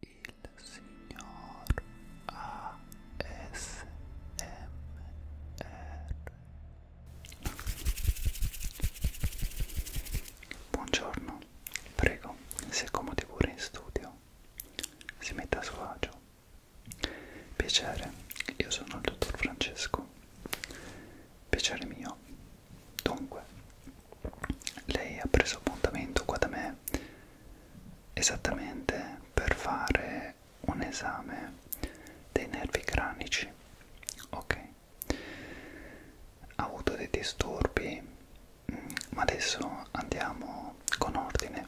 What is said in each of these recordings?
il signor ASMR Buongiorno, prego, si accomodi pure in studio, si metta a suo agio. Piacere, io sono il dottor Francesco. Piacere mio. Dunque, lei ha preso appuntamento qua da me esattamente per fare un esame dei nervi cranici ok ha avuto dei disturbi mm, ma adesso andiamo con ordine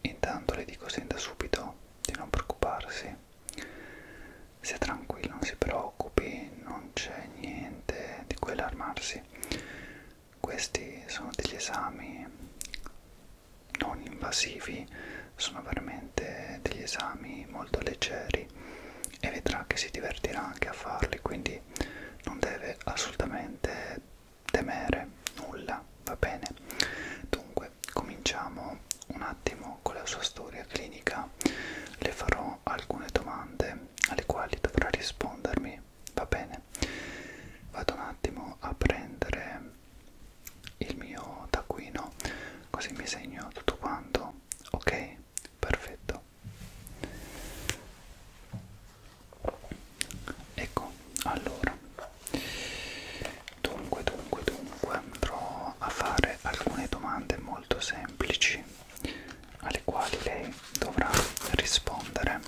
intanto le dico sin da subito di non preoccuparsi sia tranquillo non si preoccupi non c'è niente di cui allarmarsi questi sono degli esami non invasivi, sono veramente degli esami molto leggeri e vedrà che si divertirà anche a farli, quindi non deve assolutamente temere nulla, va bene? Dunque, cominciamo un attimo con la sua storia clinica. Le farò alcune domande alle quali dovrà rispondermi va bene vado un attimo a prendere il mio taccuino così mi segno tutto quanto ok perfetto ecco allora dunque dunque dunque andrò a fare alcune domande molto semplici alle quali lei dovrà rispondere.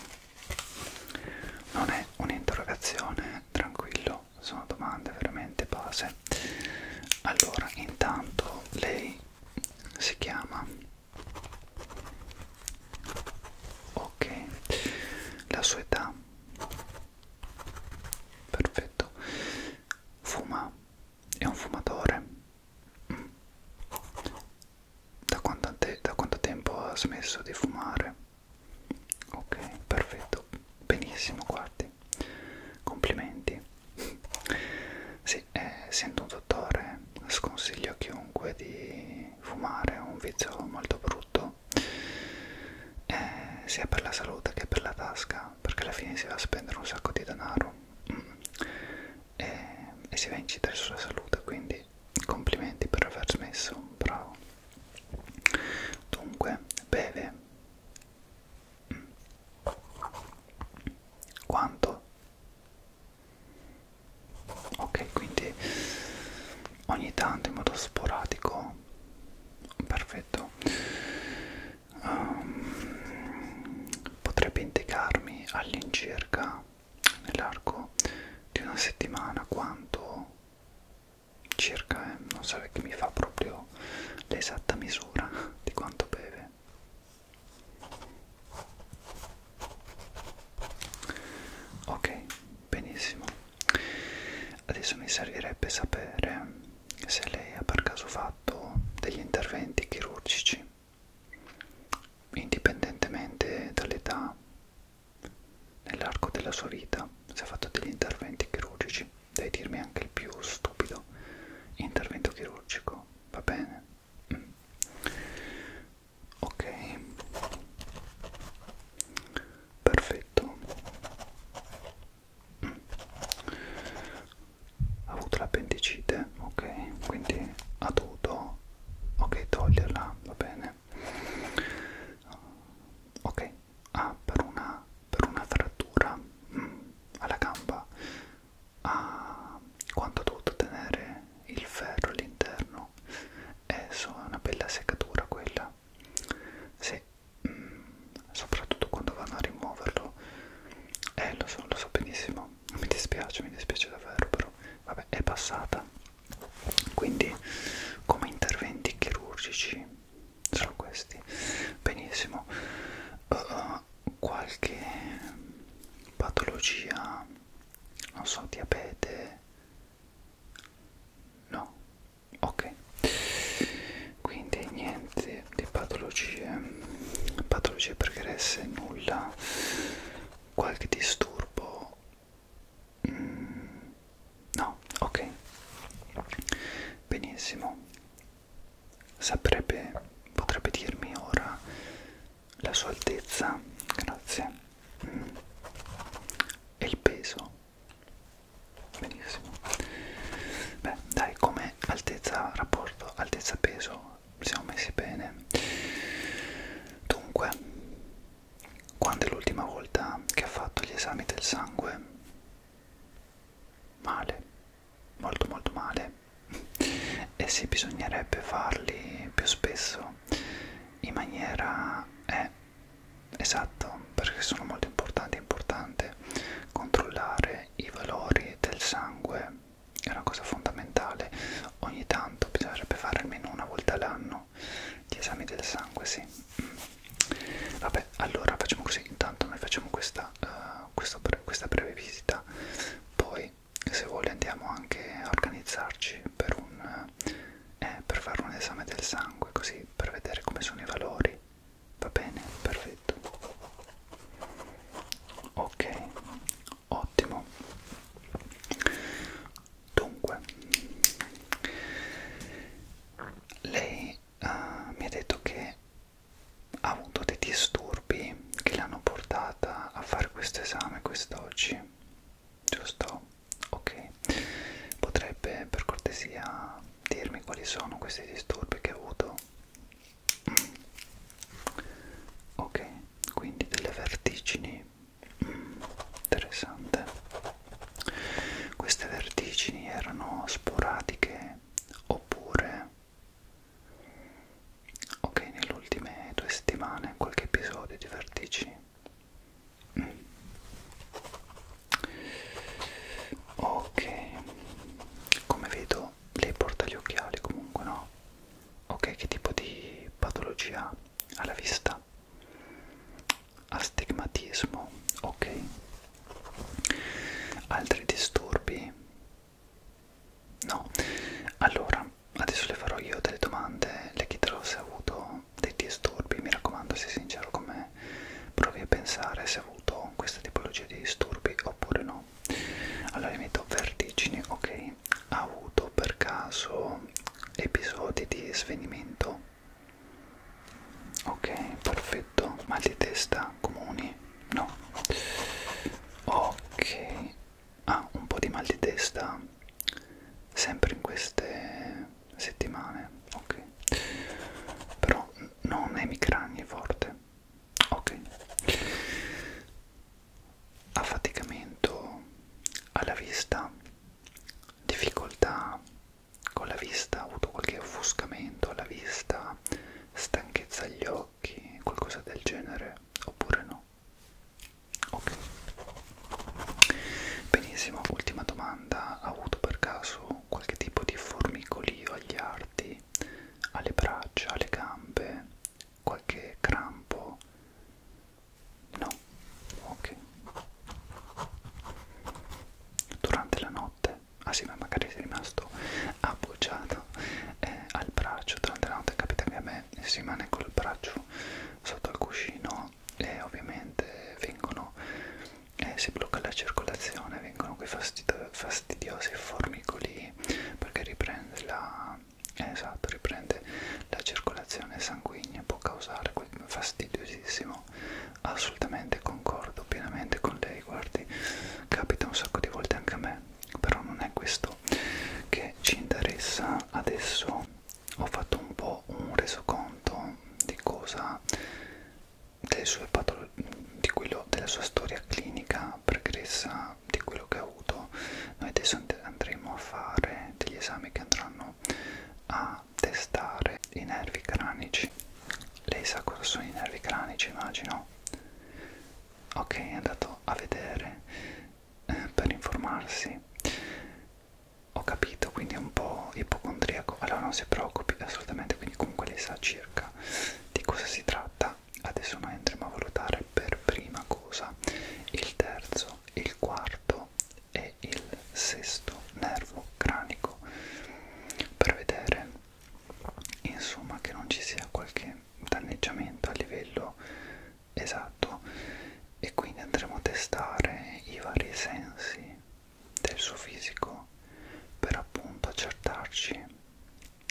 Non è un'interrogazione, tranquillo, sono domande veramente base. Allora, intanto lei si chiama ok la sua età perfetto fuma è un fumatore da quanto, te, da quanto tempo ha smesso di fumare? Ok, perfetto, benissimo, guardi, complimenti. Sì, essendo eh, un dottore, sconsiglio a chiunque di fumare, è un vizio molto brutto, eh, sia per la salute che per la tasca, perché alla fine si va a spendere un sacco di denaro. Mm e, e si va a incidere sulla salute quindi complimenti per aver smesso bravo dunque beve quanto ok quindi ogni tanto in modo sporadico perfetto um, potrebbe indicarmi all'incirca nell'arco di una settimana quanto circa eh, non so che mi fa proprio l'esatta misura di quanto beve ok benissimo adesso mi servirebbe sapere se lei ha per caso fatto degli interventi chirurgici indipendentemente dall'età, nell'arco della sua vita si è fatto degli interventi chirurgici, devi dirmi anche il più stupido intervento chirurgico, va bene? Mm. Ok, perfetto. Mm. Ha avuto l'appendicite, ok, quindi ha dovuto no ok toglierla va bene ok ah per una per una frattura mm, alla gamba ah quanto ho dovuto tenere il ferro all'interno eh, so, è una bella seccatura quella sì mm, soprattutto quando vanno a rimuoverlo eh lo so lo so benissimo mi dispiace, mi dispiace davvero, però vabbè, è passata. Quindi, come interventi chirurgici sono questi. Benissimo. Uh, uh qualche patologia, non so, diabete. No, ok. Quindi niente di patologie, patologie pregresse, nulla qualche disturbo mm, no ok benissimo saprebbe potrebbe dirmi ora la sua altezza grazie mm. e il peso benissimo beh dai come altezza rapporto altezza peso siamo messi bene dunque quando è l'ultima volta che ha fatto gli esami del sangue male molto molto male e sì bisognerebbe farli più spesso in maniera eh, esatto perché sono molto importanti è importante controllare i valori del sangue è una cosa fondamentale, ogni tanto bisognerebbe fare almeno una volta all'anno gli esami del sangue, sì. Mm. Vabbè, allora facciamo così, intanto noi facciamo questa, uh, questo, questa breve visita, poi se vuole andiamo anche a organizzarci per, un, eh, eh, per fare un esame del sangue, così per vedere come sono i valori. Va bene, perfetto. Ok, ottimo dunque lei uh, mi ha detto che ha avuto dei disturbi che l'hanno portata a fare questo esame quest'oggi giusto ok potrebbe per cortesia dirmi quali sono questi disturbi che ha avuto mm. ok quindi delle vertigini mm, interessante queste vertigini erano sporadiche oppure ok nelle ultime due settimane qualche episodio di vertigini mm. ok come vedo lei porta gli occhiali comunque no ok che tipo di patologia ha alla vista astigmatismo ok altri disturbi no allora adesso le farò io delle domande le chiederò se ha avuto dei disturbi mi raccomando sei sincero con me provi a pensare se ha avuto questa tipologia di disturbi oppure no allora metto vertigini ok ha avuto per caso episodi di svenimento? Ok, perfetto. Mal di testa comuni? No. Ok. Ah, un po' di mal di testa sempre in queste settimane. Ok. Però non è migragni forte. Ok affaticamento alla vista, difficoltà con la vista, ho avuto qualche offuscamento alla vista, stanchezza agli occhi, qualcosa del genere, oppure no? Ok. Benissimo, ultima domanda, ha avuto per caso qualche tipo di formicolio agli arti, alle braccia, alle gambe, qualche crampo, No, ok. Durante la notte, ah sì, ma magari sei rimasto appoggiato eh, al braccio. Durante la notte capita che a me si rimane col braccio sotto al cuscino e ovviamente vengono, eh, si blocca la circolazione, vengono quei fastid fastidiosi formicoli perché riprende la esatto, riprende la circolazione sanguigna, può causare quel fastidiosissimo, assolutamente concordo pienamente con lei, guardi, capita un sacco di volte anche a me, però non è questo che ci interessa adesso, ho fatto un po' un resoconto di cosa delle sue patologie, di quello della sua storia clinica pregressa della, di quello che ho avuto noi adesso andremo a fare degli esami che andranno a testare i nervi cranici lei sa cosa sono i nervi cranici immagino ok è andato a vedere eh, per informarsi ho capito quindi è un po' ipocondriaco allora non si preoccupi assolutamente quindi comunque lei sa circa di cosa si tratta adesso noi andremo a valutare fare per prima cosa il terzo, il quarto e il sesto nervo cranico per vedere insomma che non ci sia qualche danneggiamento a livello esatto e quindi andremo a testare i vari sensi del suo fisico per appunto accertarci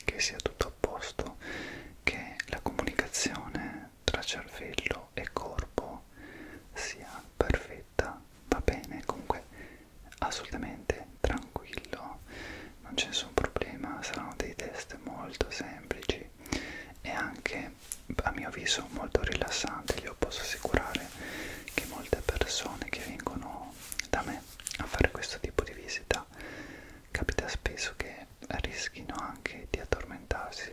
che sia tutto a posto che la comunicazione tra cervello e corpo sia perfetta, va bene, comunque assolutamente tranquillo, non c'è nessun problema, saranno dei test molto semplici e anche a mio avviso molto rilassanti, io posso assicurare che molte persone che vengono da me a fare questo tipo di visita capita spesso che rischino anche di addormentarsi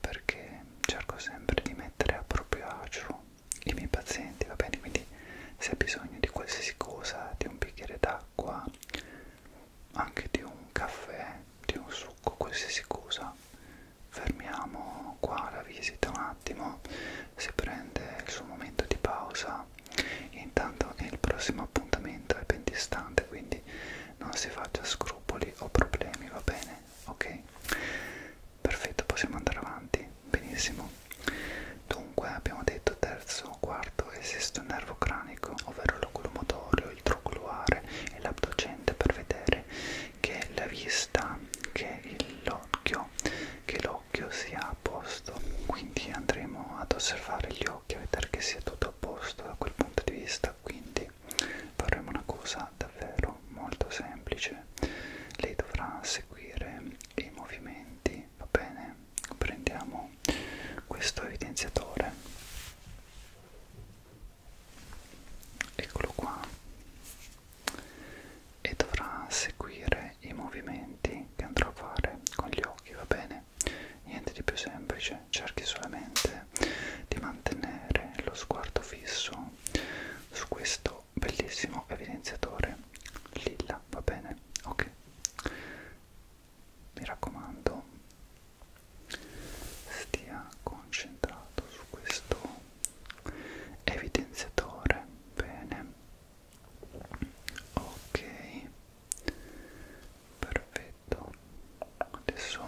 perché cerco sempre di mettere a proprio agio i miei pazienti, va bene? Quindi se hai bisogno di qualsiasi cosa, di un bicchiere d'acqua, anche di un caffè, di un succo, qualsiasi cosa, fermiamo qua la visita un attimo, si prende il suo momento di pausa, intanto il prossimo appuntamento è ben distante quindi non si faccia scrupoli o problemi va bene ok perfetto possiamo andare avanti benissimo dunque abbiamo detto terzo quarto esiste un nervo cranico ovvero l'oculo motorio il troculuare e l'abducente per vedere che la vista che l'occhio che l'occhio sia a posto quindi andremo ad osservare gli occhio a vedere che sia tutto a posto da quel punto di vista quindi faremo una cosa davvero molto semplice lei dovrà seguire i movimenti va bene prendiamo questo evidenziatore eccolo qua e dovrà seguire i movimenti che andrò a fare con gli occhi va bene niente di più semplice, cerchi solamente di mantenere lo sguardo fisso su questo bellissimo evidenziatore lilla, va bene? Ok, mi raccomando, stia concentrato su questo evidenziatore, bene? Ok, perfetto perfetto adesso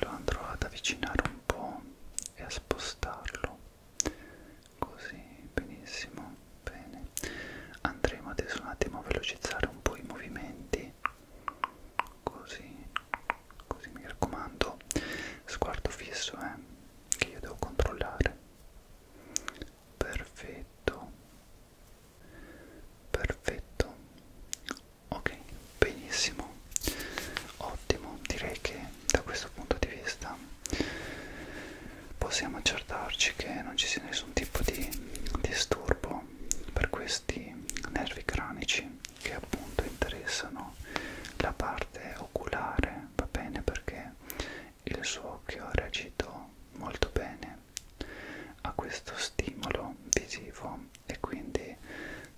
lo andrò ad avvicinare un po' e a spostarlo così benissimo bene andremo adesso un attimo a velocizzare un po' i movimenti così così mi raccomando sguardo fisso eh, che io devo controllare perfetto perfetto ok benissimo ottimo direi che da questo punto di vista possiamo accertarci che non ci sia nessun tipo di disturbo per questi nervi cranici che appunto interessano la parte oculare va bene perché il suo occhio ha reagito molto bene a questo stimolo visivo e quindi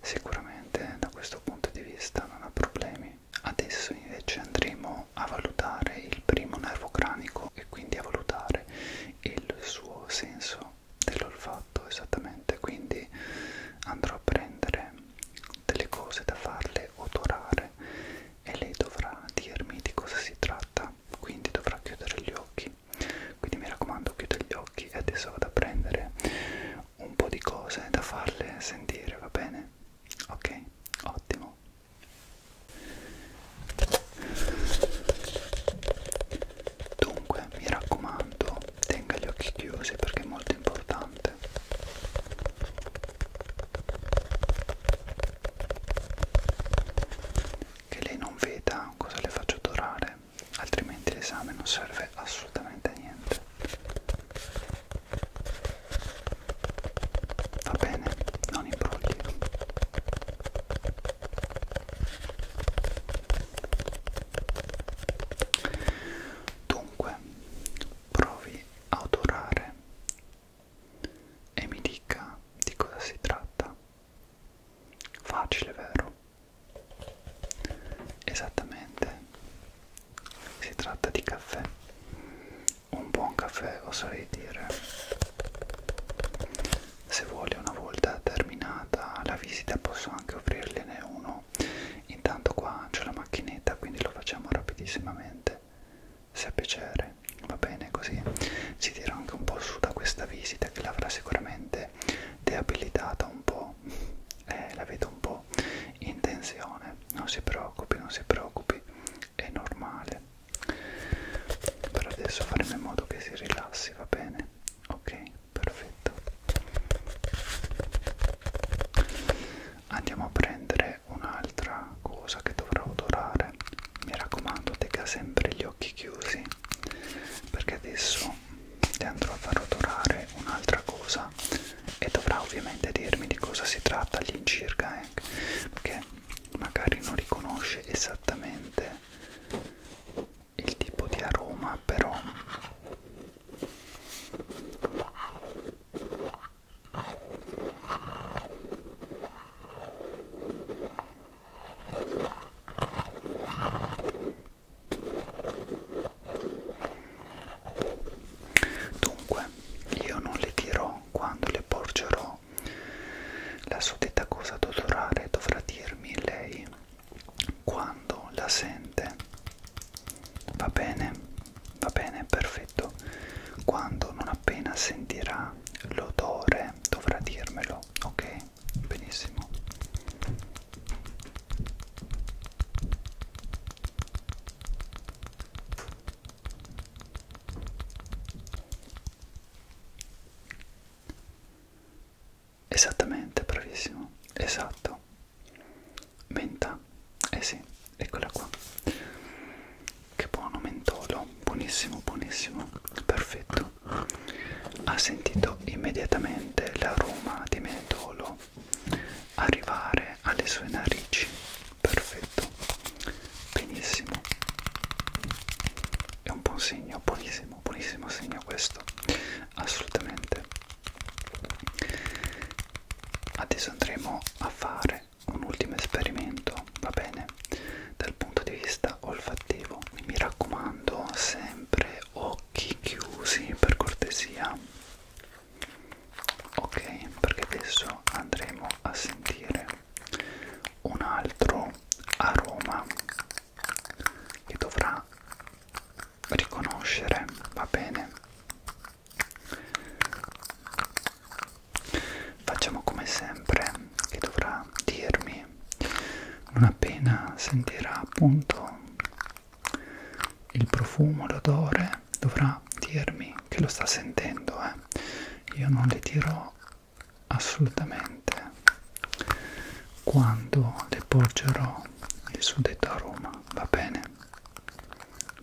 sicuramente da questo punto di vista non ha problemi. Adesso invece andremo a valutare il primo nervo cranico e quindi a valutare il suo senso dell'olfatto esattamente, quindi andrò a prendere delle cose da farle odorare e lei dovrà dirmi di cosa si tratta, quindi dovrà chiudere gli occhi quindi mi raccomando chiudo gli occhi e adesso vado a prendere un po' di cose da farle sentire va bene ok ottimo dunque mi raccomando tenga gli occhi chiusi perché è molto importante che lei non veda cosa le faccio dorare, altrimenti l'esame non serve assolutamente a niente. Va bene, non imbrugli. Dunque, provi a odorare e mi dica di cosa si tratta. Facile, vero? Esattamente. Si tratta di caffè. Un buon caffè, oserei dire. Se vuole una volta terminata la visita posso anche offrirgliene uno. Intanto qua c'è la macchinetta, quindi lo facciamo rapidissimamente. Se piacere sempre va bene così si tira anche un po' su da questa visita che l'avrà sicuramente deabilitata un po' eh, la vedo un po' in tensione non si preoccupi non si preoccupi è normale per adesso faremo in modo che si rilassi va bene ok perfetto andiamo a prendere un'altra cosa che dovrà odorare comunque mi raccomando tenga sempre gli occhi chiusi perché adesso le andrò a far odorare un'altra cosa e dovrà ovviamente dirmi di cosa si tratta all'incirca eh, perché magari non riconosce esattamente il tipo di aroma però Dunque, io non le dirò quando le porgerò la suddetta cosa da odorare, dovrà dirmi lei quando la sente. Va bene, va bene, perfetto. Quando non appena sentirà l'odore dovrà dirmelo io certo. ok benissimo Esattamente, bravissimo, esatto. Menta, eh sì, eccola qua. Che buono mentolo, buonissimo, buonissimo, perfetto. Ha sentito immediatamente l'aroma di mentolo arrivare alle sue narici. Perfetto, benissimo. È un buon segno, buonissimo, buonissimo segno questo, assolutamente. Adesso andremo a fare un ultimo esperimento questo va bene dal punto di vista olfattivo mi raccomando sempre occhi chiusi per cortesia ok perché adesso andremo a sentire un altro aroma che dovrà riconoscere va bene facciamo come sempre che dovrà dirmi non appena sentirà appunto il profumo, l'odore, dovrà dirmi che lo sta sentendo, eh. io non le dirò assolutamente quando le porgerò il suddetto aroma, va bene?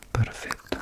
Perfetto.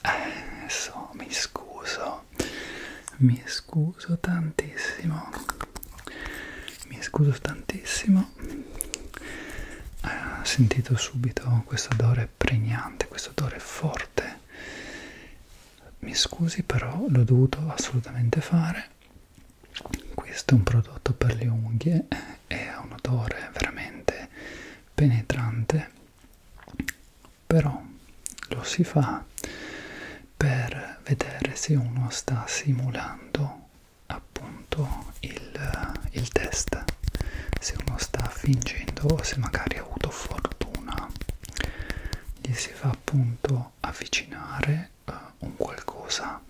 Adesso mi scuso, mi scuso tantissimo, mi scuso tantissimo. Ho sentito subito questo odore pregnante, questo odore forte forte mi scusi però l'ho dovuto assolutamente fare questo è un prodotto per le unghie e ha un odore veramente penetrante però lo si fa per vedere se uno sta simulando appunto il, il test se uno sta fingendo o se magari ha avuto fortuna gli si fa appunto avvicinare uh, un qualcosa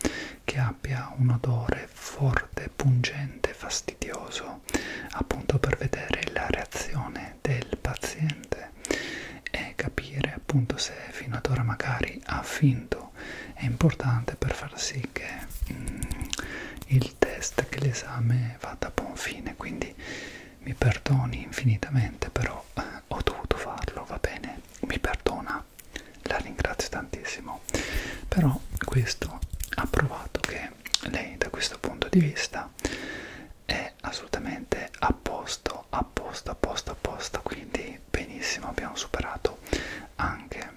che abbia un odore forte, pungente, fastidioso appunto per vedere la reazione del paziente e capire appunto se fino ad ora magari ha finto è importante per far sì che mm, il test che l'esame vada a buon fine, quindi mi perdoni infinitamente, però eh, ho dovuto farlo, va bene? Mi perdona, la ringrazio tantissimo. Però questo ha provato che lei da questo punto di vista è assolutamente a posto, a posto, a posto, a posto, quindi benissimo, abbiamo superato anche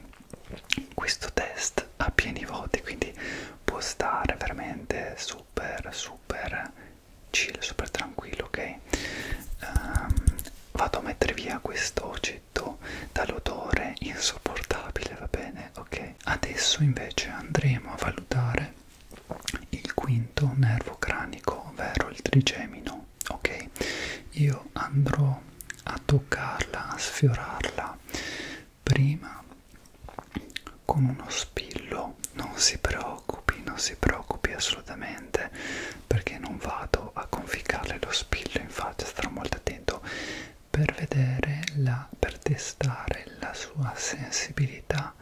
questo test chat a pieni voti quindi può stare veramente super super chill super tranquillo ok um, vado a mettere via questo oggetto dall'odore insopportabile va bene ok adesso invece andremo a valutare il quinto nervo cranico ovvero il trigemino ok io andrò a toccarla a sfiorarla prima con uno spillo non si preoccupi non si preoccupi assolutamente perché non vado a conficcarle lo spillo in faccia starò molto attento per vedere la per testare la sua sensibilità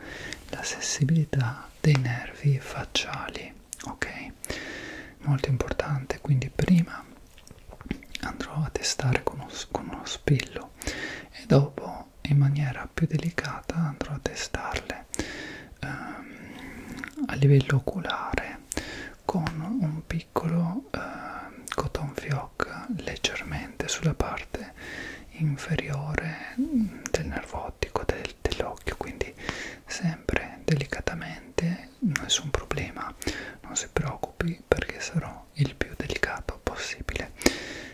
la sensibilità dei nervi facciali ok molto importante quindi prima andrò a testare con uno, con uno spillo e dopo in maniera più delicata andrò a testarle ehm, a livello oculare con un piccolo eh, cotton fioc leggermente sulla parte inferiore mm, del nervo ottico del, dell'occhio quindi sempre delicatamente nessun problema non si preoccupi voi perché sarò il più delicato possibile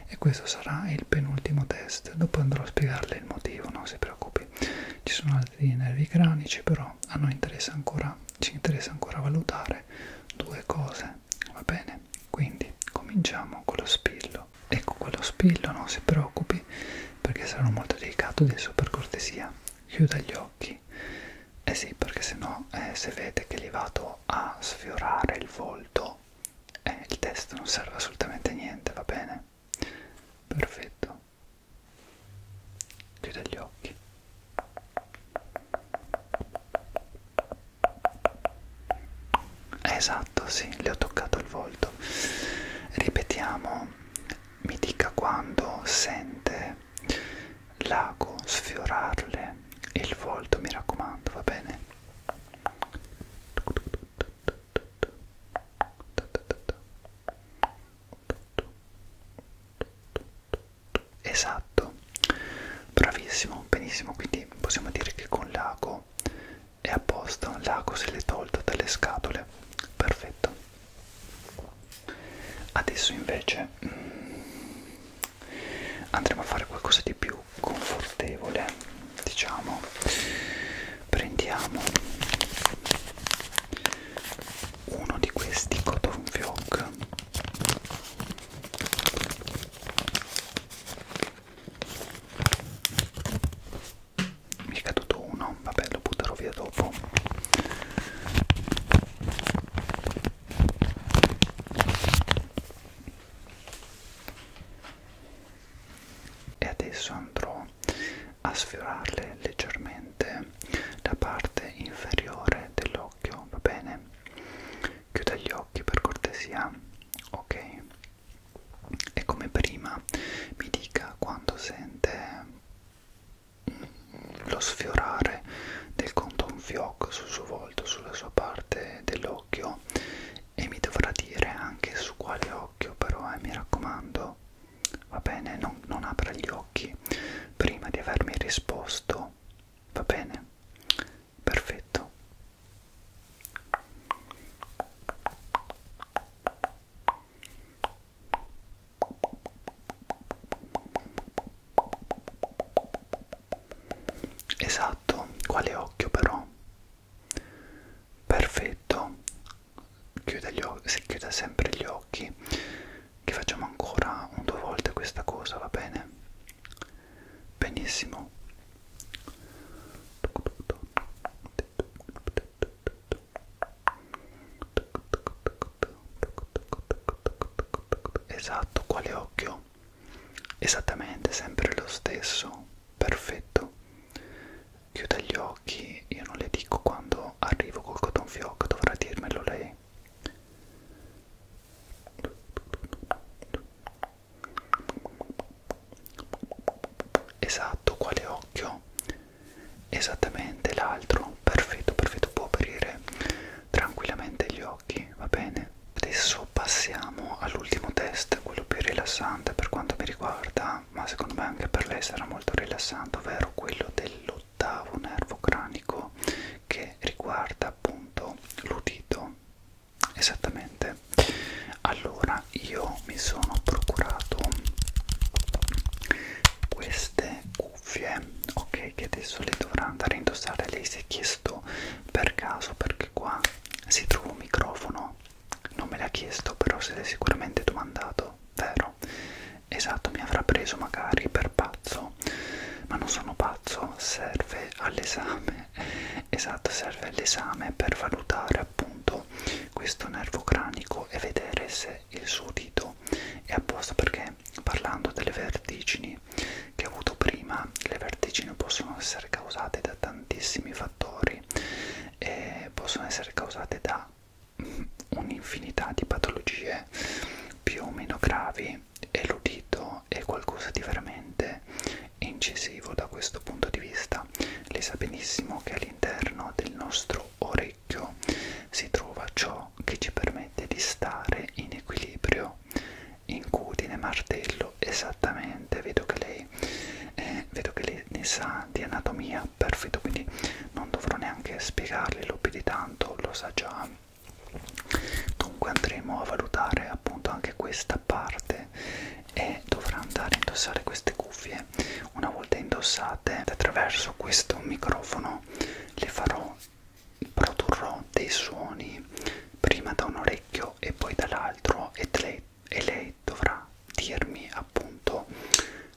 e questo sarà il penultimo test dopo andrò a spiegarle il motivo non si preoccupi ci sono altri nervi cranici però a noi interessa ancora ci interessa ancora valutare due cose va bene quindi cominciamo con lo spillo ecco quello spillo non si preoccupi perché sarò molto delicato adesso per cortesia chiuda gli occhi eh sì, perché sennò eh, se vede che li vado a sfiorare il volto, eh, il testo non serve assolutamente a niente, va bene? Perfetto. Chiude gli occhi. Esatto, sì, le ho toccato il volto. Ripetiamo, mi dica quando sente lago, sfiorarle e il volto, mi raccomando, va bene? Esatto, bravissimo, benissimo, quindi possiamo dire che con l'ago è apposta, un lago se l'è tolta dalle scatole, perfetto. Adesso invece mm, andremo a fare qualcosa di più confortevole diciamo prendiamo uno di questi cotton fioc mi è caduto uno vabbè lo butterò via dopo e adesso andrò a sfiorarle leggermente la parte inferiore dell'occhio va bene chiuda gli occhi per cortesia ok e come prima mi dica quando sente lo sfiorare del conto un fioc sul suo volto sulla sua parte dell'occhio e mi dovrà dire anche su quale occhio però eh, mi raccomando va bene non, non apra gli occhi prima di avermi risposto va bene perfetto Esatto, quale occhio però? Perfetto, chiuda, gli occhi, chiuda sempre gli occhi, che facciamo ancora un due volte questa cosa, va bene? Benissimo. Esatto, quale occhio? esattamente sempre lo stesso, perfetto. Chiuda gli occhi, io non le dico quando arrivo col cotton fioc, dovrà dirmelo lei. Esatto, quale occhio? Esattamente l'altro, perfetto, perfetto, può aprire tranquillamente gli occhi occhi, va bene? Adesso passiamo all'ultimo test, quello più rilassante per quanto mi riguarda, ma secondo me anche per lei sarà molto rilassante, ovvero quello dell'ottavo nervo cranico che riguarda appunto l'udito. Esattamente. Allora, io mi sono procurato queste cuffie, ok, che adesso le dovrà andare a indossare. Lei si è chiesto per caso perché qua si trova un microfono non me l'ha chiesto però se l'è sicuramente domandato vero esatto mi avrà preso magari per pazzo ma non sono pazzo serve all'esame esatto serve all'esame per valutare appunto questo nervo cranico e vedere se il suo dito è apposta perché parlando delle vertigini crisi che ho avuto prima, le vertigini possono essere causate da tantissimi fattori e possono essere causate da un'infinità di patologie più o meno gravi e l'udito è qualcosa di veramente incisivo da questo punto di vista. Lei sa benissimo che all'interno del nostro orecchio si trova ciò che ci permette di stare in equilibrio no incutine martello esattamente vedo che lei eh, vedo che lei ne sa di anatomia perfetto quindi non dovrò neanche spiegarle lo più di tanto lo sa già dunque andremo a valutare appunto anche questa parte e dovrà andare a indossare queste cuffie una volta indossate attraverso questo microfono le farò produrrò dei suoni prima da un orecchio e poi dall'altro e, e lei dovrà dirmi appunto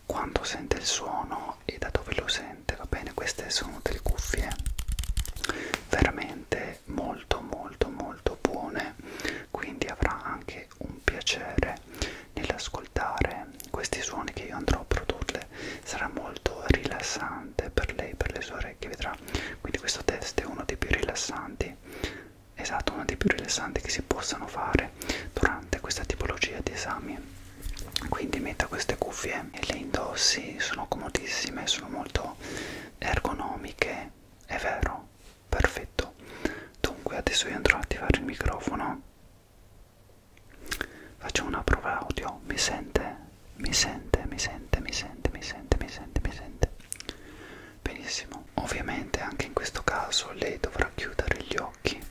quando sente il suono e da dove lo sente, va bene? Queste sono delle cuffie veramente molto molto molto buone, quindi avrà anche un piacere nell'ascoltare questi suoni che io andrò a produrre, sarà molto rilassante per lei, per le sue orecchie, vedrà quindi questo test è uno dei più rilassanti esatto uno dei più rilassanti che si possano fare durante questa tipologia di esami quindi metta queste cuffie e le indossi sono comodissime sono molto ergonomiche è vero perfetto dunque adesso io andrò a attivare il microfono faccio una prova audio mi sente mi sente, mi sente, mi sente, mi sente, mi sente, mi sente. Benissimo. Ovviamente anche in questo caso lei dovrà chiudere gli occhi.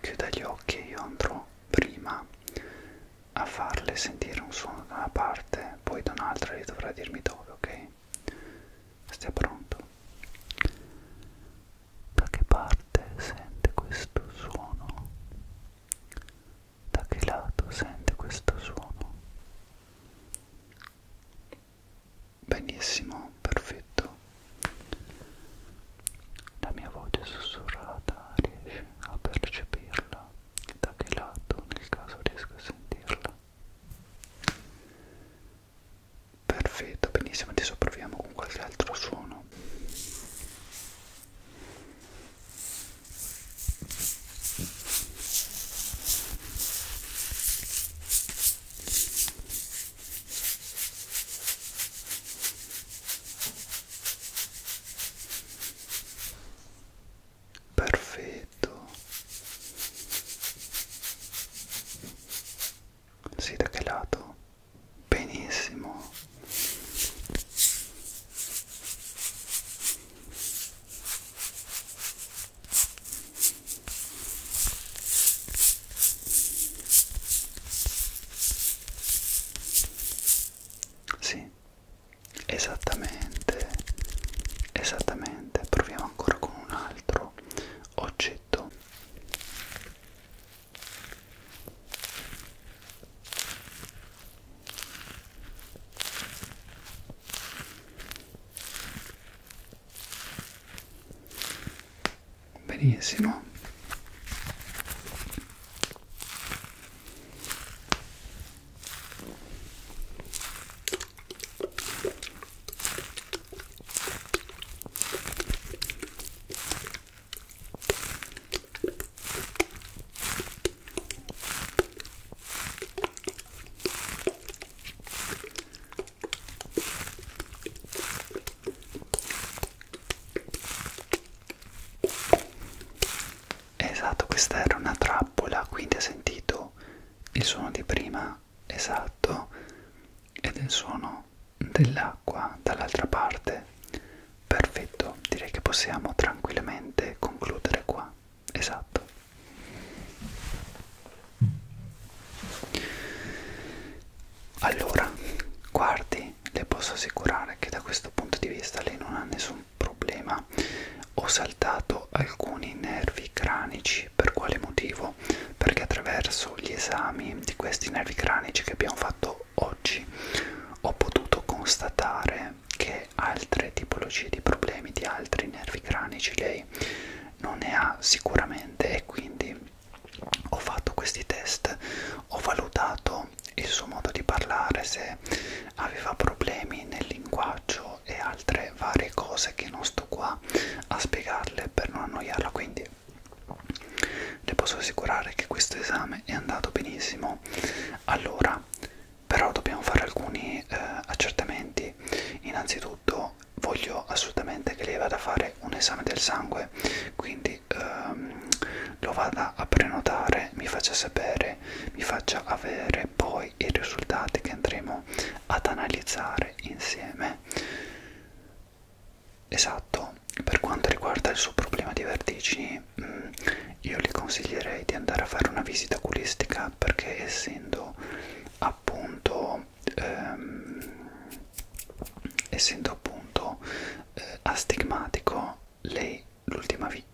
Chiuda gli occhi e io andrò prima a farle sentire un suono da una parte, poi da un'altra e dovrà dirmi dove, ok? Stia pronto. Da che parte sente questo suono? Da che lato sente questo suono? Benissimo, perfetto. La mia voce sussurrata riesce a percepirla. Da che lato nel caso riesco a sentirla? Perfetto, benissimo, adesso proviamo con qualche altro suono. Perfetto. Sì, da che lato? Benissimo. Sì, esattamente, esattamente, proviamo ancora con un altro oggetto benissimo Esatto, questa era una trappola, quindi ha sentito il suono di prima, esatto, ed il suono dell'acqua dall'altra parte. Perfetto, direi che possiamo tranquillamente concludere qua esatto allora guardi le posso assicurare che da questo punto di vista lei non ha nessun problema ho saltato alcuni nervi cranici per quale motivo perché attraverso gli esami di questi nervi cranici che abbiamo fatto oggi ho potuto constatare che altre tipologie di problemi di altri nervi cranici lei non ne ha sicuramente e quindi ho fatto questi test, ho valutato il suo modo di parlare, se aveva problemi nel linguaggio e altre varie cose che non sto qua a spiegarle per non annoiarla, quindi le posso assicurare che questo esame è andato benissimo. Allora, però dobbiamo fare alcuni eh, accertamenti innanzitutto voglio assolutamente che lei vada a fare un esame del sangue quindi ehm, lo vada a prenotare mi faccia sapere mi faccia avere poi i risultati che andremo ad analizzare insieme esatto per quanto riguarda il suo problema di vertigini mh, io gli consiglierei di andare a fare una visita oculistica perché essendo appunto ehm, essendo appunto eh, astigmatico lei l'ultima vi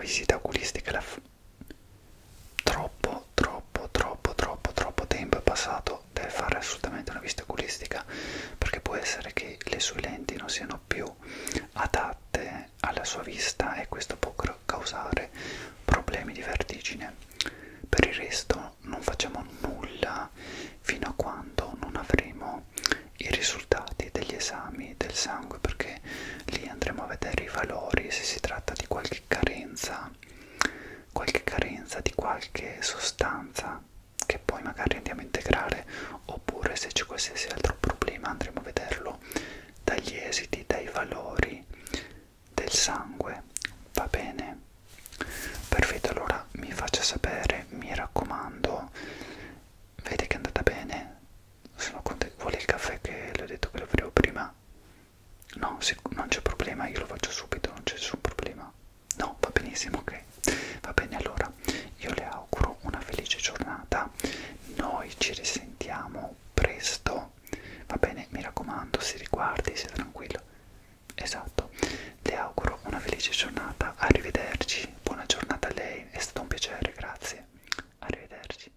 visita oculistica la troppo troppo troppo troppo troppo tempo è passato deve fare assolutamente una visita oculistica perché può essere che le sue lenti non siano più adatte insieme alla sua vista e questo può causare problemi di vertigine. Per il resto non facciamo nulla fino a quando non avremo i risultati degli esami del sangue perché lì andremo a vedere i valori se si tratta di qualche carenza qualche carenza di qualche sostanza che poi magari andiamo a integrare oppure se c'è qualsiasi altro problema andremo a vederlo dagli esiti, dai valori del sangue. Va bene? Perfetto, allora mi faccia sapere, mi raccomando. Vede che è andata bene? Sono contento. Vuole il caffè che le ho detto che lo offrivo prima? No, non c'è problema, io lo faccio subito, non c'è nessun problema. No, va benissimo, ok. Va bene, allora io le auguro una felice giornata settimana noi ci risentiamo presto va bene mi raccomando si riguardi sia tranquillo esatto le auguro una felice giornata arrivederci buona giornata a lei è stato un piacere grazie arrivederci